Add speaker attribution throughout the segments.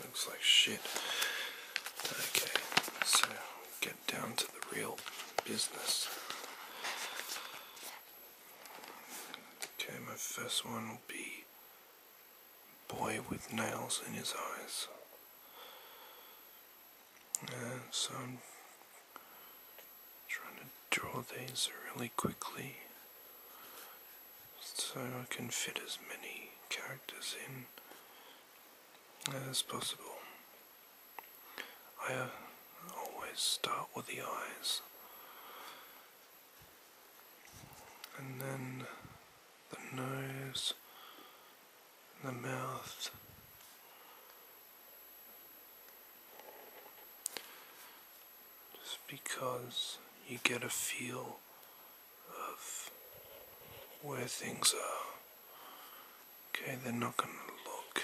Speaker 1: looks like shit. Okay, so get down to the real business. Okay, my first one will be Boy with Nails in His Eyes. Uh, so trying to draw these really quickly so I can fit as many characters in as possible. I uh, always start with the eyes and then the nose, the mouth just because you get a feel of where things are. Okay, they're not going to look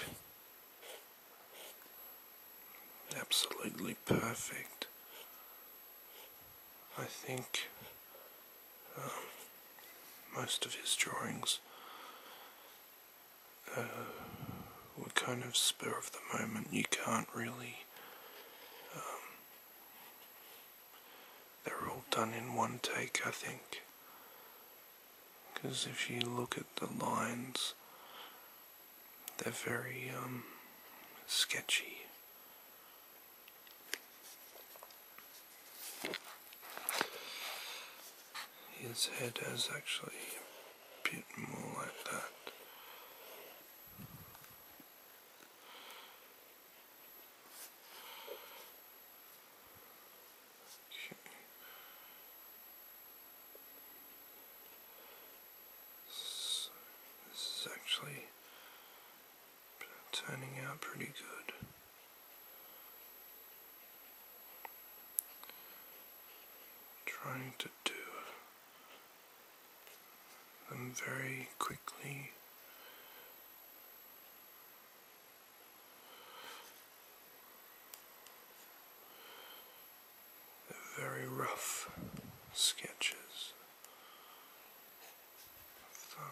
Speaker 1: absolutely perfect. I think um, most of his drawings uh, were kind of spur of the moment. You can't really. Um, they're all done in one take, I think. Because if you look at the lines, they're very um, sketchy. His head has actually bit more like that. Okay. So this is actually turning out pretty good trying to do them very quickly. very rough sketches of them.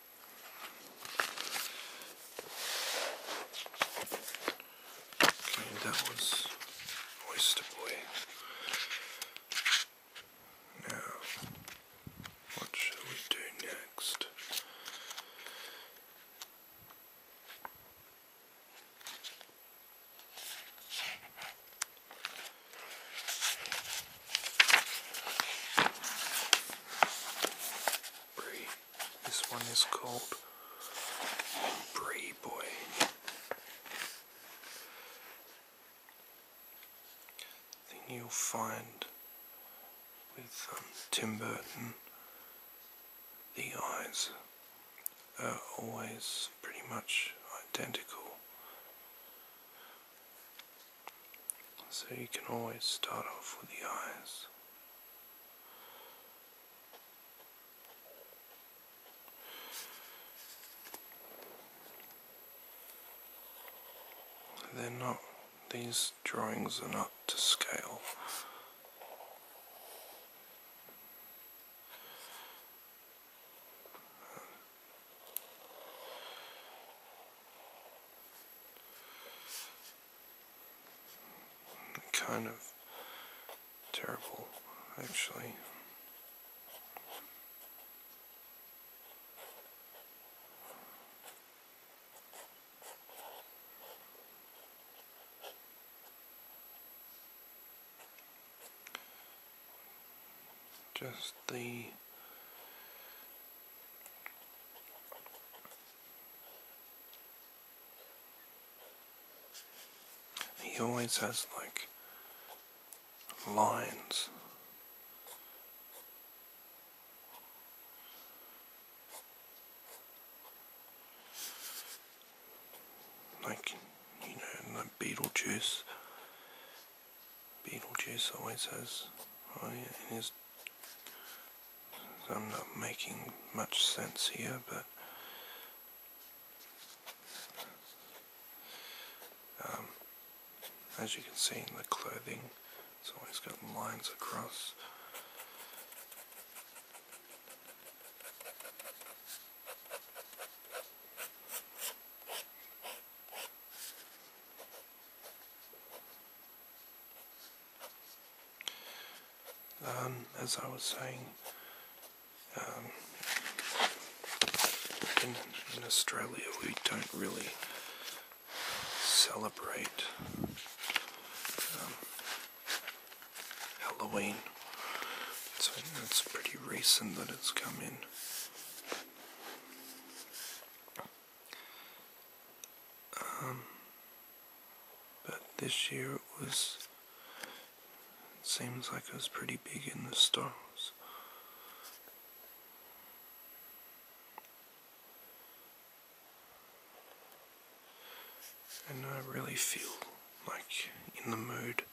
Speaker 1: that was Oyster Boy. Now, what shall we do next? Breed. This one is called Bree Boy. Then you'll find with um, Tim Burton, the eyes are always pretty much identical. So you can always start off with the eyes. They're not, these drawings are not to scale. Kind of terrible, actually. just the he always has like lines. Like, you know, like Beetlejuice. Beetlejuice always has, oh yeah, his I'm not making much sense here, but um, as you can see in the clothing, it's always got lines across. Um, as I was saying, um, in, Australia we don't really celebrate um, Halloween. So it's pretty recent that it's come in. Um, but this year it was. seems like it was pretty big in the stores. And I really feel like in the mood.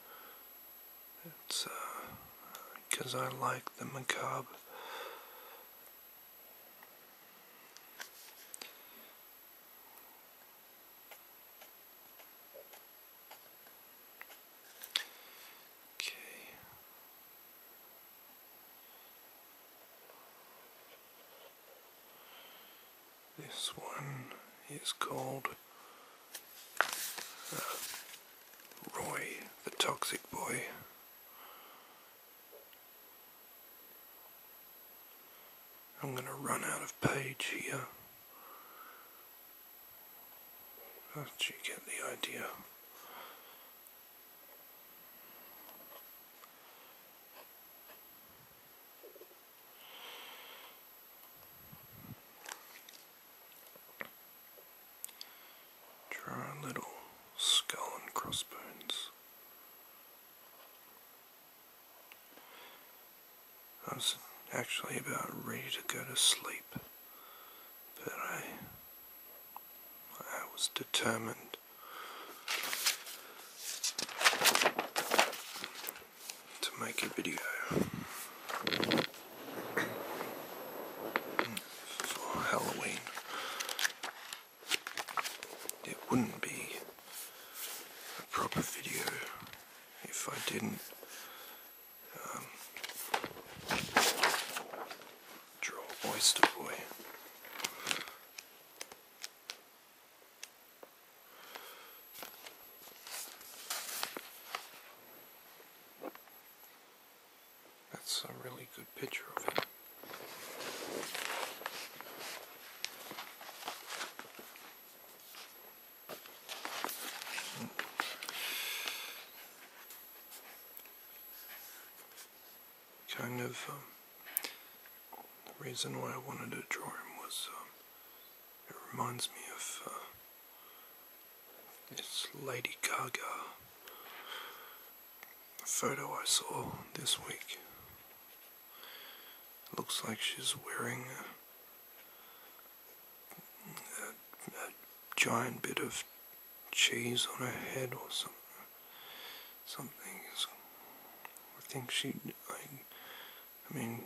Speaker 1: It's because uh, I like the macabre. Okay. This one is called uh, Roy the Toxic Boy. I'm going to run out of page here. But you get the idea. Draw a little skull and crossbones. I was actually about ready to go to sleep, but I, I was determined to make a video. for Halloween, it wouldn't be a proper video if I didn't um, draw Oyster Boy. That's a really good picture of him. Kind of, um, the reason why I wanted to draw him was, um, it reminds me of, uh, it's Lady Gaga photo I saw this week. Looks like she's wearing a, giant bit of cheese on her head or something. Something. I think she. I mean,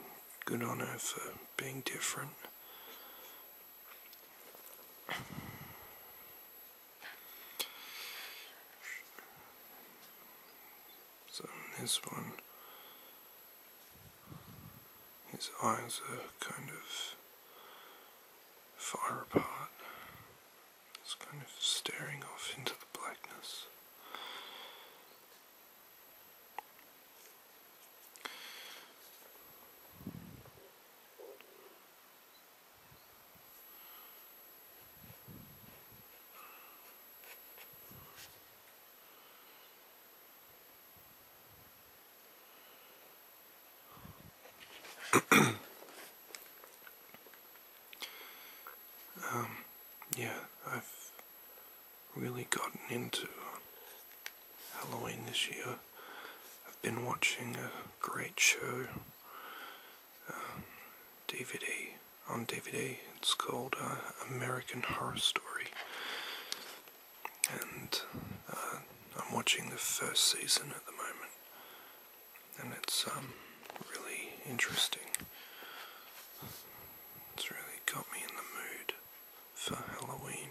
Speaker 1: good on her for being different. So this one, his eyes are kind of far apart, It's kind of staring off into the blackness um, yeah, I've really gotten into Halloween this year. I've been watching a great show um, DVD on DVD. It's called uh, American Horror Story, and uh, I'm watching the first season at the moment, and it's um, really interesting. It's really got me in the mood for Halloween.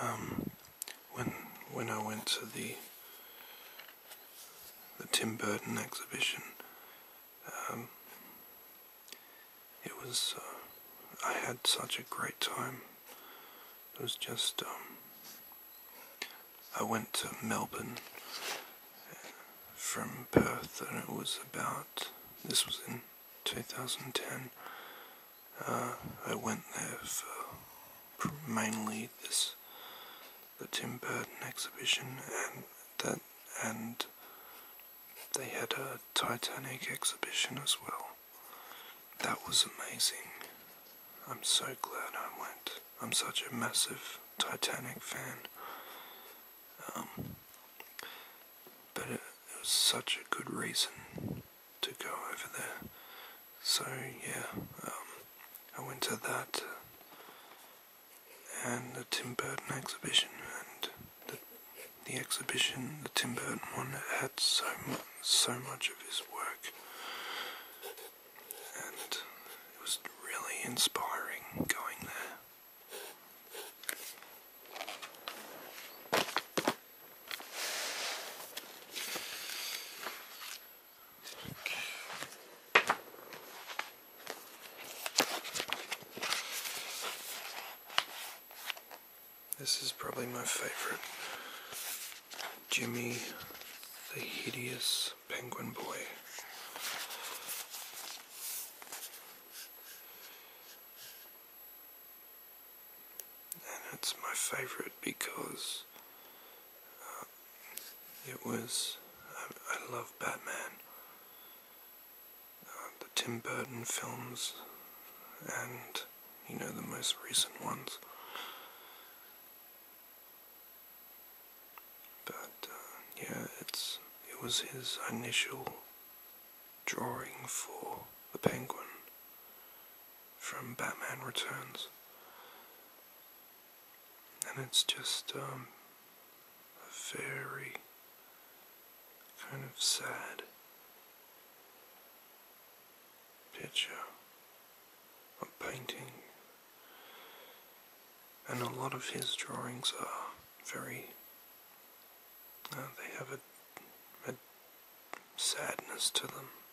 Speaker 1: um, when when I went to the the Tim Burton exhibition. Um, it was, uh, I had such a great time. It was just, um, I went to Melbourne uh, from Perth, and it was about, this was in 2010. Uh, I went there for mainly this the Tim Burton exhibition and that and they had a Titanic exhibition as well. That was amazing. I'm so glad I went. I'm such a massive Titanic fan. Um, but it was such a good reason to go over there so yeah, um, I went to that uh, and the Tim Burton exhibition, and the, the exhibition, the Tim Burton one, had so so much of his work, and it was really inspiring going there. This is probably my favorite. Jimmy the Hideous Penguin Boy. And it's my favorite because it was. I, love Batman. Uh, the Tim Burton films, and, you know, the most recent ones. But, uh, yeah, it's. It was his initial drawing for the Penguin from Batman Returns and it's just um, a very kind of sad picture, a painting, and a lot of his drawings are very. Uh, they have a sadness to them.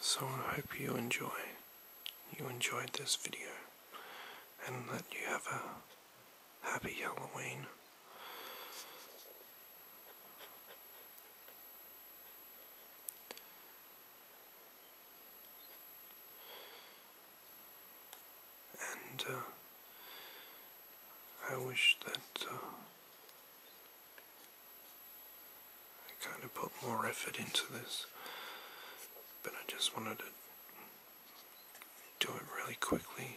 Speaker 1: So I hope you enjoy, you enjoyed this video, and that you have a happy Halloween. And uh, I wish that uh, I kind of put more effort into this, but I just wanted to do it really quickly.